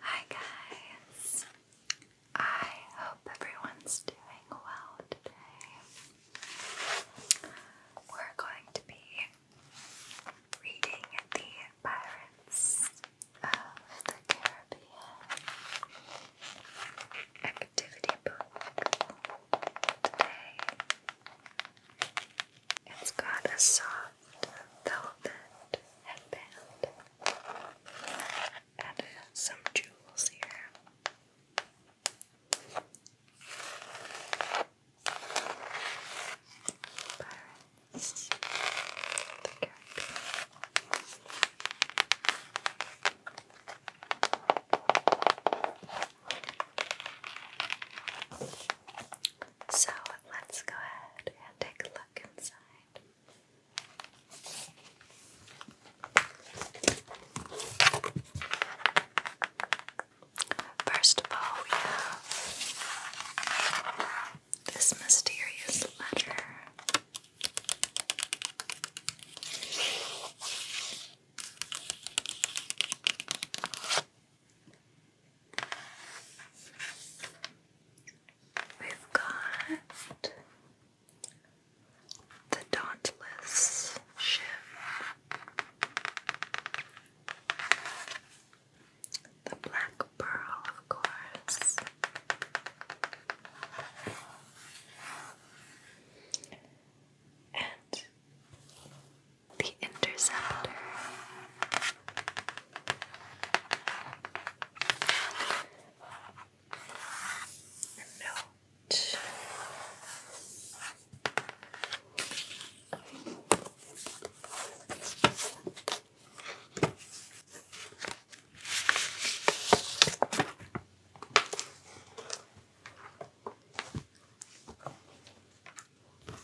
Hi guys! I hope everyone's doing well today. We're going to be reading the Pirates of the Caribbean activity book today. It's got a soft velvet headband. Added some jewels here. Pirates. The character. So let's go ahead and take a look. First of all, we have this mysterious letter. We've got the Dauntless ship. The Black Pearl, of course. And the Interceptor note. Dear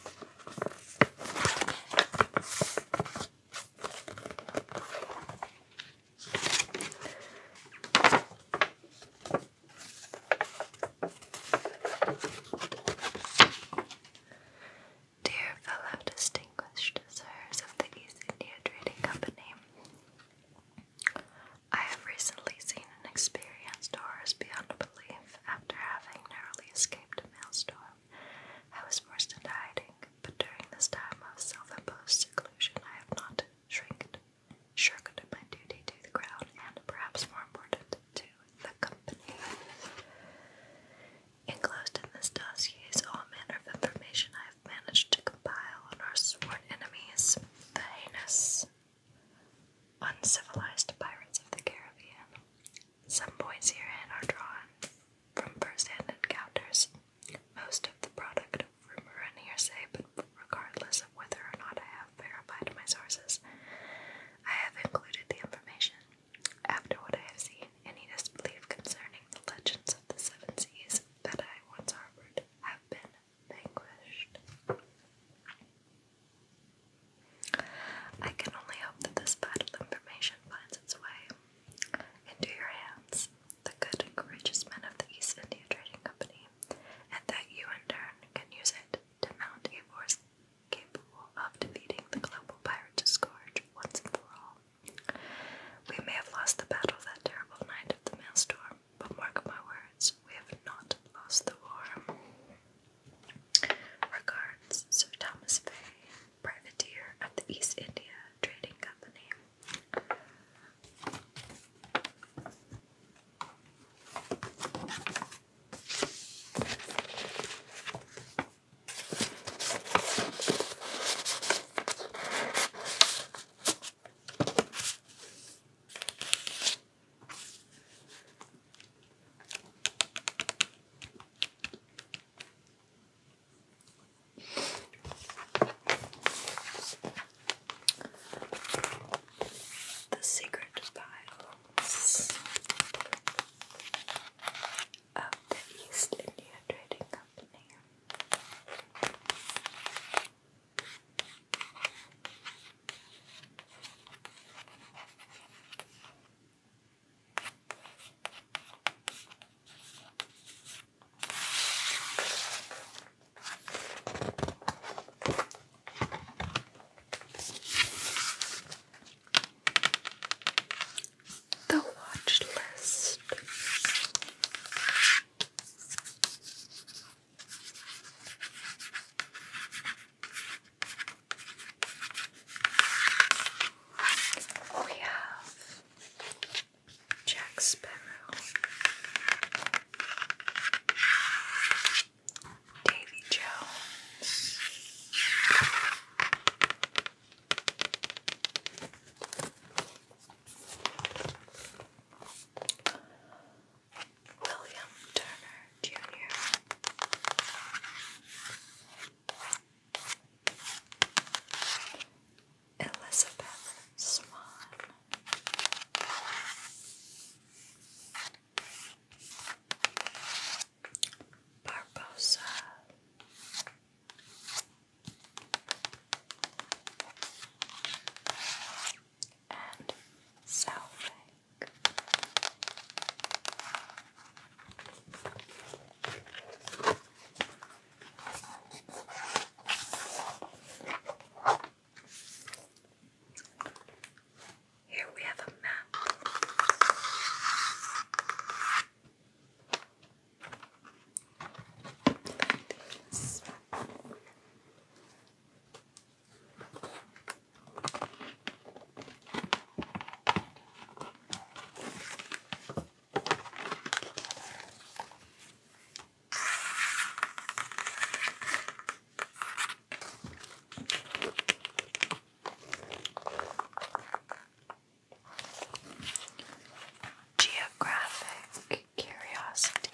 fellow distinguished of the East India Trading Company, I have recently seen and experienced horrors beyond belief after having narrowly escaped a mail storm. I was forced into hiding, but during this time of self-imposed seclusion, I have not shirked my duty to the crowd, and perhaps more important, to the company. Enclosed in this dossier is all manner of information I have managed to compile on our sworn enemies, the heinous, uncivilized pirates of the Caribbean. Some points herein are drawn from first-hand encounters. Most of the product of rumor and hearsay, but regardless of whether or not I have verified my sources, I have included the information. After what I have seen, any disbelief concerning the legends of the seven seas that I once harbored have been vanquished. I can only hope that this vital information finds its way into your hands, the good and courageous men of the East India Trading Company, and that you in turn can use it to mount a force capable of defeating the global pirate scourge once and for all. We may have lost the battle that terrible night of the mail storm, but mark my words, we have not lost the war. Regards, Sir Thomas Fay, privateer of the East India Trading Company. The secret files of the East India Trading Company. The watch list. Oh, we have Jack Sparrow, Davy Jones, William Turner Jr. Elizabeth Swan. Barbosa. And Salve. Here we have a map. Geographic curiosity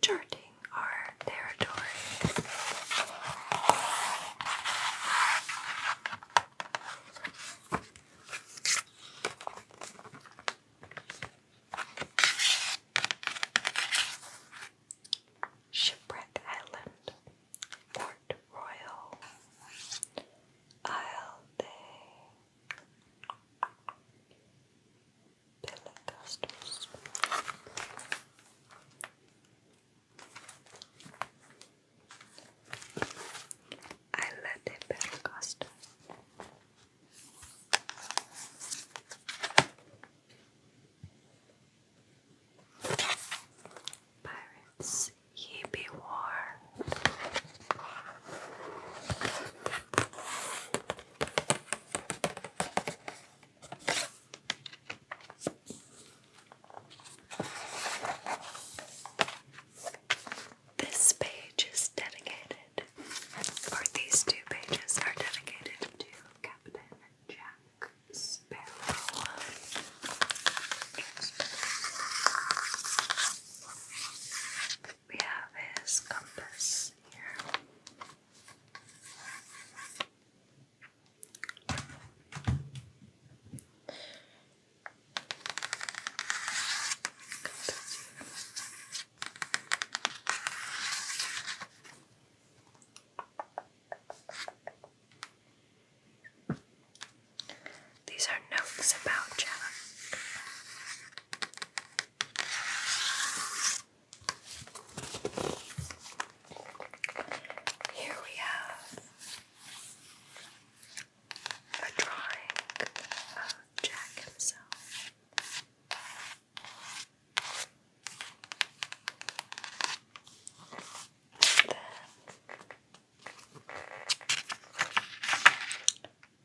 charting our territory. Shipwreck Island, Port Royal, Isle de Pentecostals. I love the Pentecostal. Pirates, ye be war. This page is dedicated, or these two pages are dedicated to Captain Jack Sparrow we have his compass here. These are notes about Jack. Here we have a drawing of Jack himself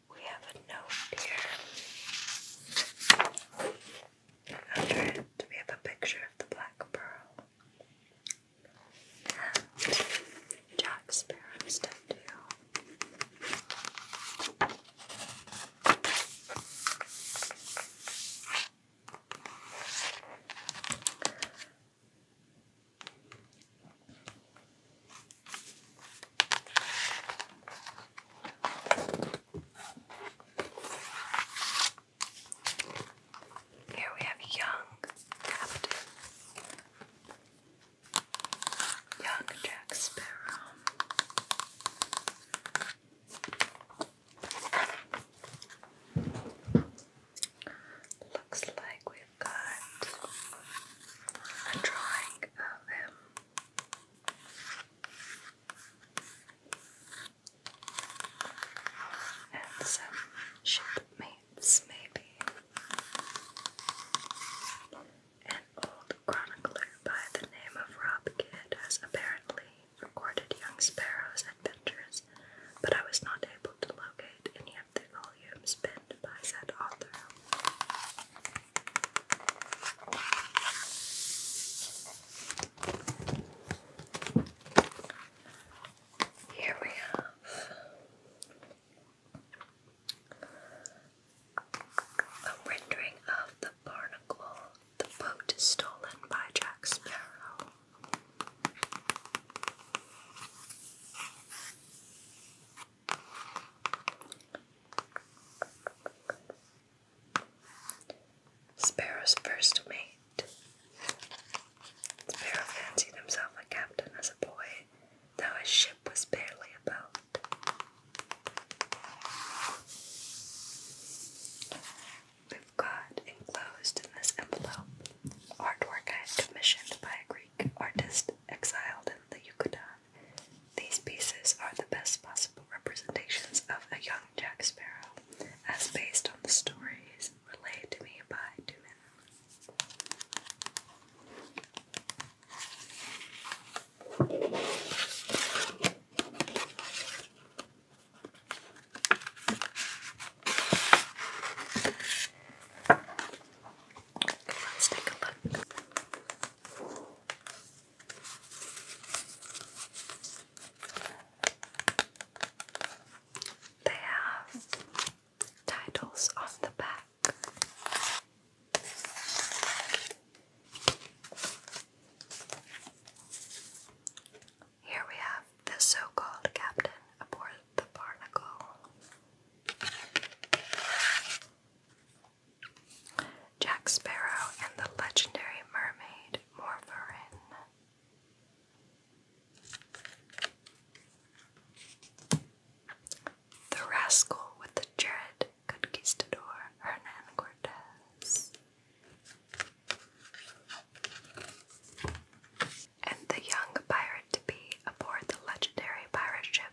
we have a note here. Under it, we have a picture of the black pearl. Jack Sparrow's tattoo. Here we have young Captain, young Jack Sparrow. Looks like we got a drawing of him. And some shipmates, maybe. An old chronicler by the name of Rob Kidd has apparently recorded young Sparrow's adventures, but I was not able to locate any the volumes penned by said author. Here we have a rendering of The Barnacle, the boat stolen by Jack Sparrow. Sparrow's first mate. Sparrow fancied himself a captain as a boy, though his ship was barely about. We've got enclosed in this envelope artwork I commissioned by a Greek artist exiled that you These pieces are the best possible representations of a young Jack Sparrow, as based on the stories relayed to me by Duman. Let's take a look. They have titles on the back. Here we have the so-called captain aboard the Barnacle, Jack Sparrow and the legendary mermaid Morverin. The rascal with the dread conquistador Hernan Cortez. And the young pirate to be aboard the legendary pirate ship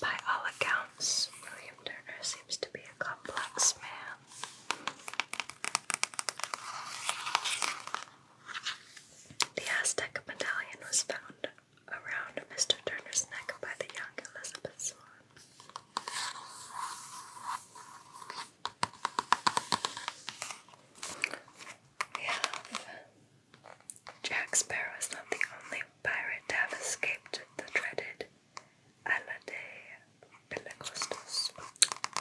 By all accounts, William Turner seems to be a complex man. The Aztec medallion was found around Mr. Turner's neck by the young Elizabeth Swan. Jack Sparrow is not the only pirate to have escaped the dreaded Allade Pentecostals.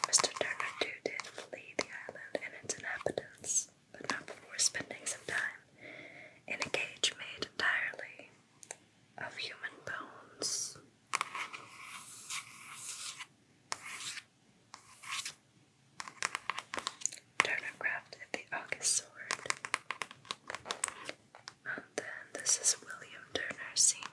Mr. Turner too did flee the island and its inhabitants, but not before spending some time in a cage made entirely of human bones. Turnercraft at the August Sword. And then this is William Turner Sr.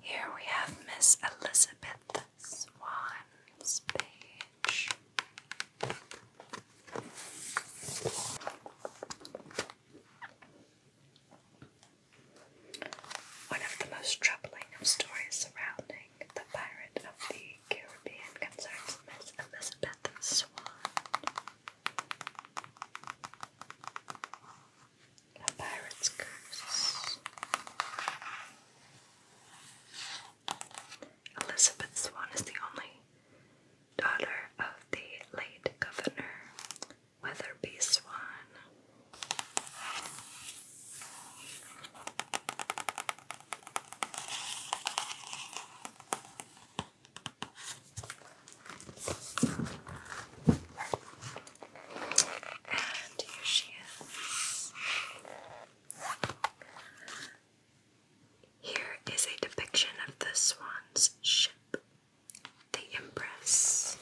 Here we have Miss Elizabeth Swan's page. One of the most troubling of stories surrounding the pirate of the Caribbean concerns Miss Elizabeth Swan a pirate's curse. Elizabeth Swan is the only daughter of the late governor Weatherby Swan. And here she is. Here is a depiction of the swan's ship, the Empress.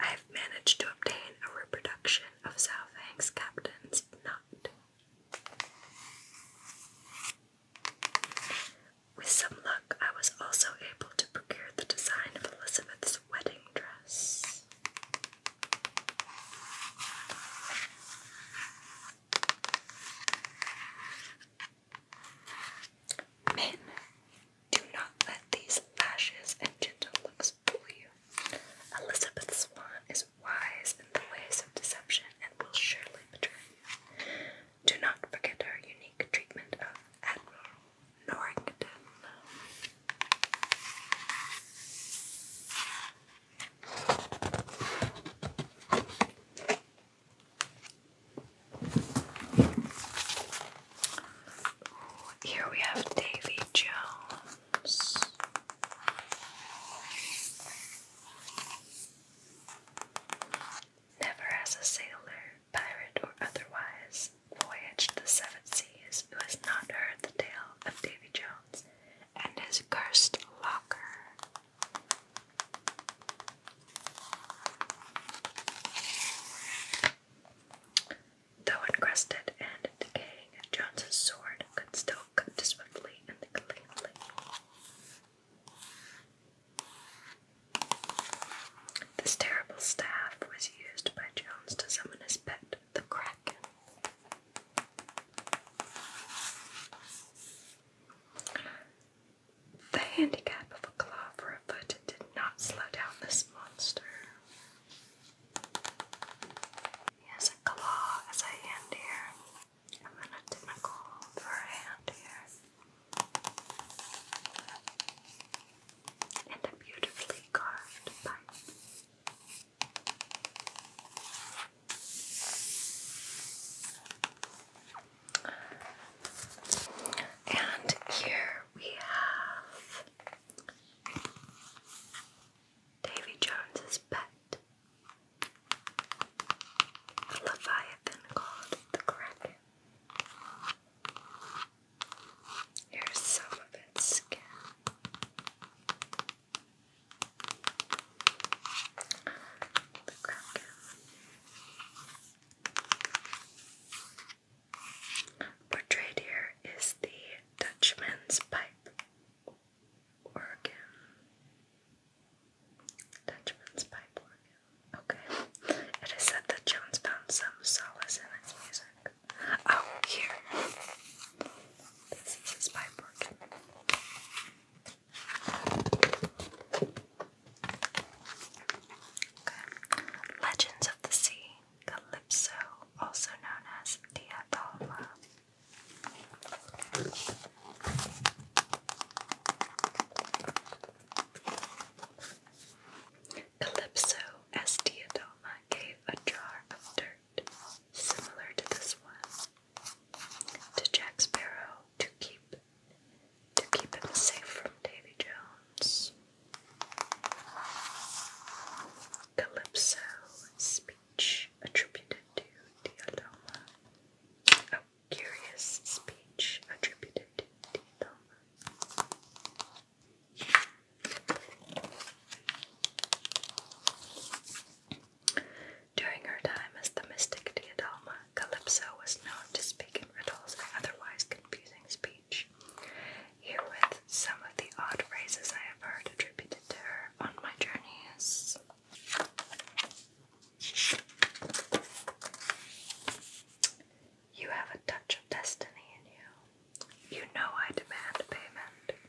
I've managed to obtain a reproduction of South captain's not. With some luck, I was also able to procure the design of Elizabeth's wedding dress. Men, do not let these lashes and gentle looks fool you. Elizabeth Swan is wise in the ways of deception and will surely betray you. Do not forget our unique treatment of Admiral Norrington. here we have Davy Jones. Never has a sailor, pirate, or otherwise voyaged the seven seas who has not heard the tale of Davy Jones and his cursed locker. Though encrusted and decaying, Jones's sword could still cut swiftly and cleanly. This terrible staff was used by Jones to summon his pet, the Kraken. The handicap of a claw for a foot did not slow down this monster. He has a claw as a hand here, and then a tentacle for a hand here. And a beautifully carved pipe. And here we have Davy Jones's pet. A leviathan called the Kraken. Here's some of its skin. The Kraken. Portrayed here is the Dutchman's pipe. Oregon. Dutchman's Pipe, Oregon. Okay. It is said that Jones found some solace in his music. Oh, here. This is his pipe organ. Okay. Legends of the Sea. Calypso, also known as Diabolo. Calypso, as Diadoma, gave a jar of dirt, similar to this one, to Jack Sparrow to keep to keep him safe from Davy Jones. Calypso speech attributed to Diadoma. Oh, curious speech attributed to Diadoma. During her time as the mystic Diadoma, Calypso was known to speak in riddles and otherwise confusing speech. Herewith some of the odd phrases I have heard attributed to her on my journeys. You have a touch of destiny in you. You know I demand payment.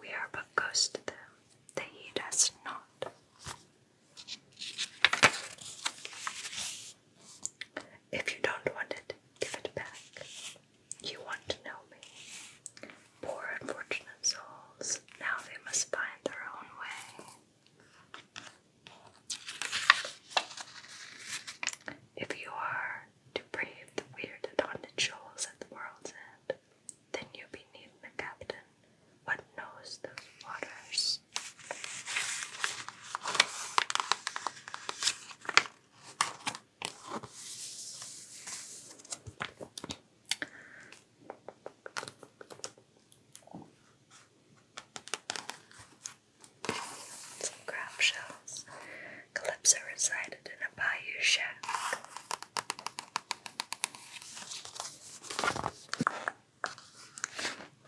We are but ghosts to them. They heed us not. If you don't want it, give it back. You want to know me. Poor unfortunate souls, now they must find their own way. If you are to brave the weird and haunted shoals at the world's end, then you will be beneath the captain, what knows those waters? Some crab shells. Calypso resided in a bayou shack.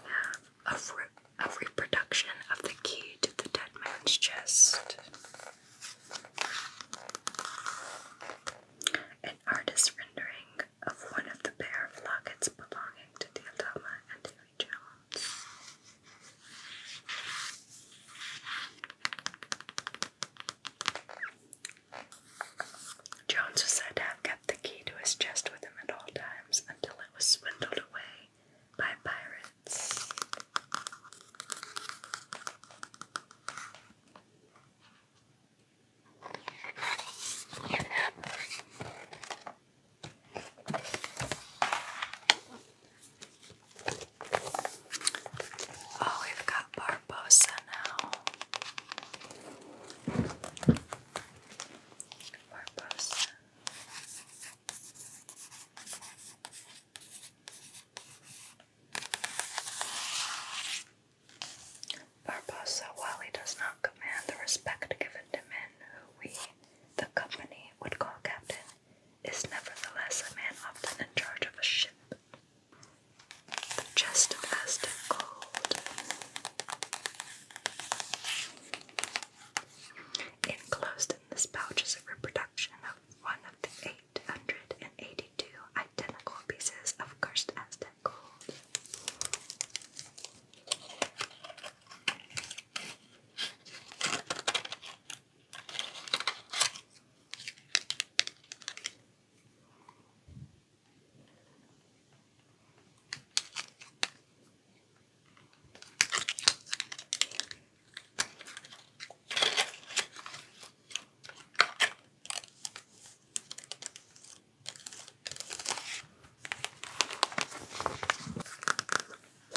Yeah, re of reproduction of the key to the dead man's chest. An artist's rendering of one of the pair of lockets belonging to Diotima and Davy Jones. Jones was said to have kept the key to his chest with him at all times until it was swindled away by a pirate Oh, we've got Barbosa now. Barbosa. Barbosa, while he does not command the respect given to men who we, the company, would call captain, is nevertheless a man often in charge of a ship. The chest of Aztec gold. Enclosed this pouch is a reproduction of one of the 882 identical pieces of cursed Aztec gold.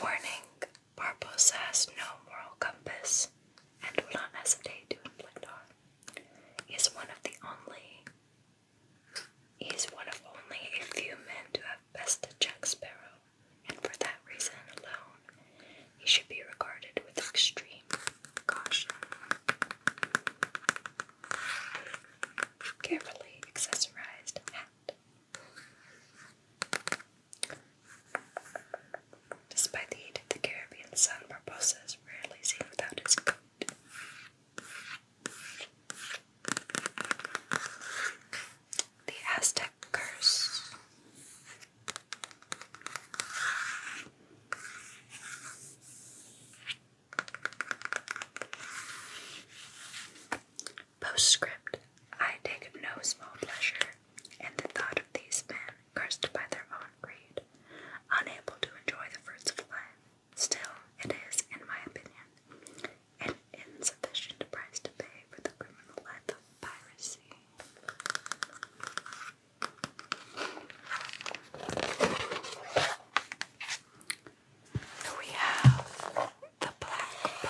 Warning, Barbosa has no moral compass and will not hesitate to inflict harm. is one of the only is one of only a few men to have bested Jack Sparrow and for that reason alone, he should be regarded with extreme caution. Carefully accessorized hat. Despite the heat of the Caribbean sun, Barbosa is rarely seen without his coat. The Aztec Curse. Postscript I take no small pleasure in the thought of these men cursed by their own greed, unable to enjoy the fruits of life. Still, it is, in my opinion, an insufficient price to pay for the criminal life of piracy. We have the blackbird.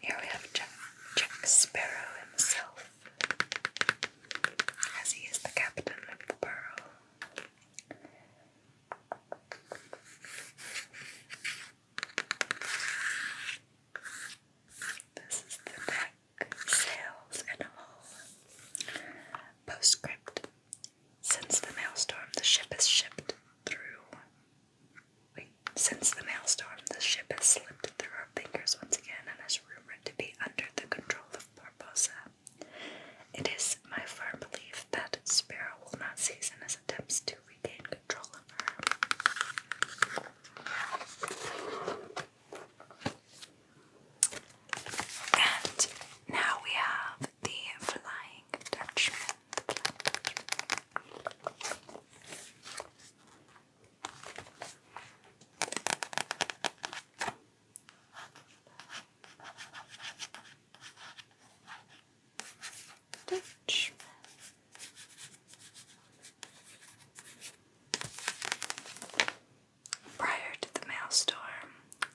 Here we have Jack, Sparrow himself, as he is the captain of the burrow. This is the deck, sails, and hull. Postscript. Since the maelstrom, the ship has shipped through since the maelstrom, the ship has slipped through our fingers once again and is rumored to be under the control of Barbosa. It is my firm belief that Sparrow will not cease in his attempts to regain control of her. And now we have The Flying Dutchman. Prior to the maelstrom,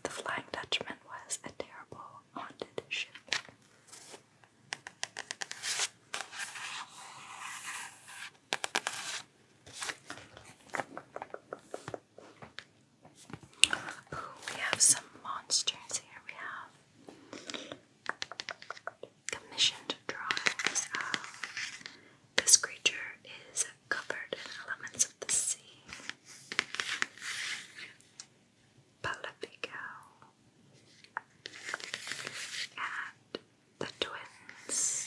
the Flying Dutchman was a terrible haunted ship we have some monsters here. We have commissioned drawings. Uh, this creature is covered in elements of the sea. Palapigao and the twins.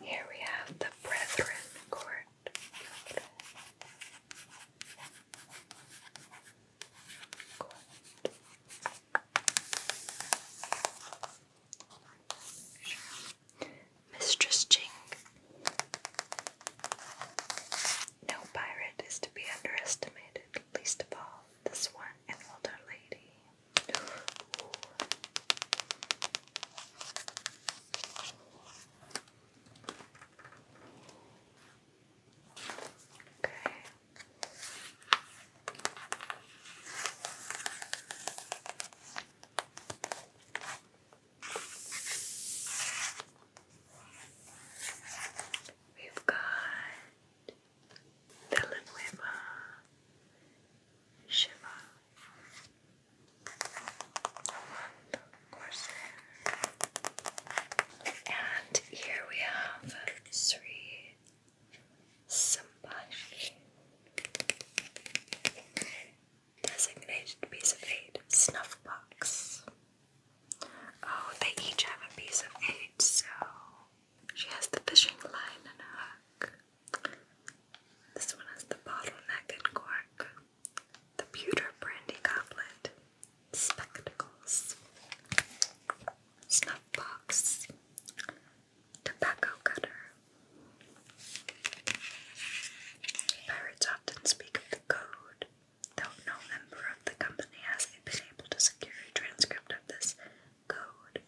Here we have the Brethren Court. Mistress Jing. No pirate is to be underestimated, least of all this one, an older lady. Okay. We've got Villanueva, Shiva, and here we have Sri Sambashi. Designated piece of eight, snuff box. Oh, they each have a piece of eight, so she has the fishing line and hook. This one has the bottleneck and cork, the pewter brandy goblet, spectacles, snuff box, tobacco cutter. Pirates often speak of the code, though no member of the company has been able to secure a transcript of this code.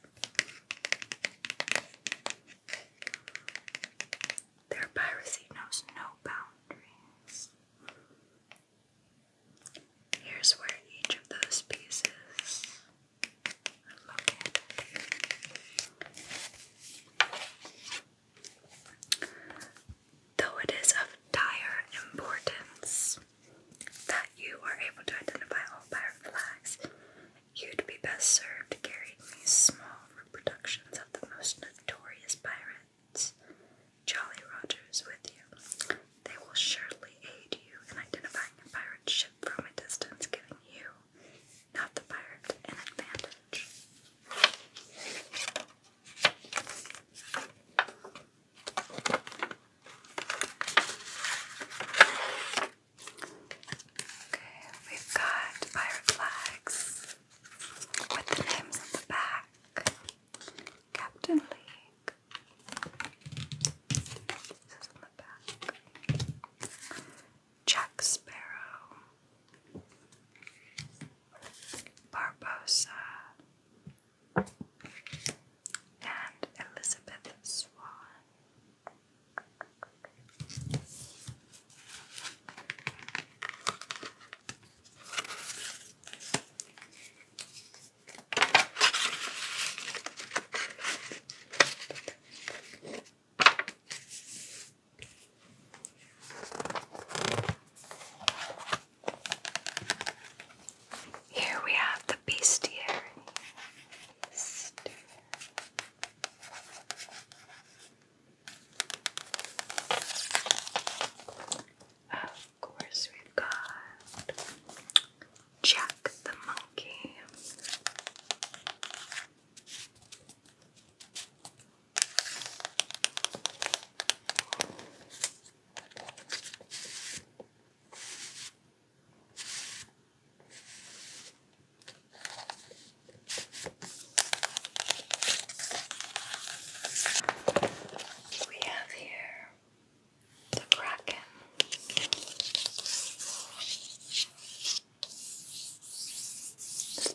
Their piracy knows no boundaries. Here's where each of those pieces Though it is of dire importance that you are able to identify all pirate flags, You'd be best served carrying these small reproductions of the most notorious pirates, Jolly Rogers, with you. They will surely aid you in identifying a pirate ship from a distance, giving you, not the pirate, an advantage. Okay, we've got pirate flags with the names on the back. Captain League. This on the back. Jack Sparrow. Barbosa. And Elizabeth Swan. Here we have the bestiary. Bestiary. Of course, we've got Jack the Monkey. We have here the Kraken. This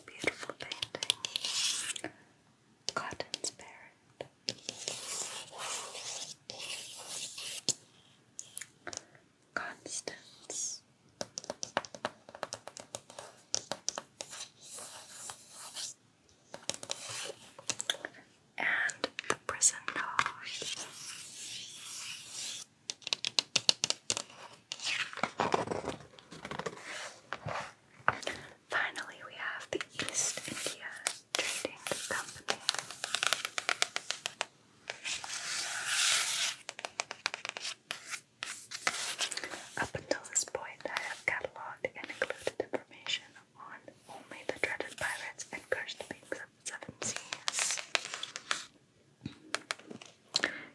beautiful painting, Cotton Spirit constants. And percentage. Finally, we have the East India Trading Company. Up until this point, I have catalogued and included information on only the dreaded pirates and cursed beings of the seven seas.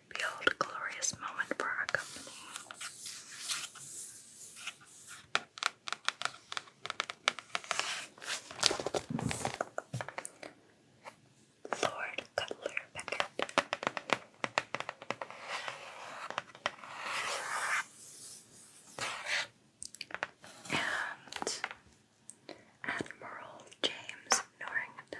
Behold a glorious moment for our company. Lord Cutler Beckett. And Admiral James Norrington.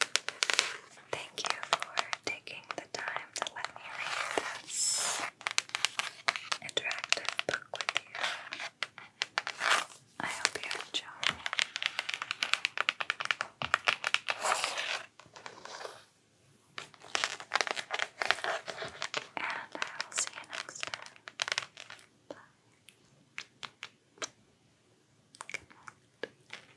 Thank you for taking the time to let me read this interactive book with you. I hope you enjoy. And I will see you next time. Bye.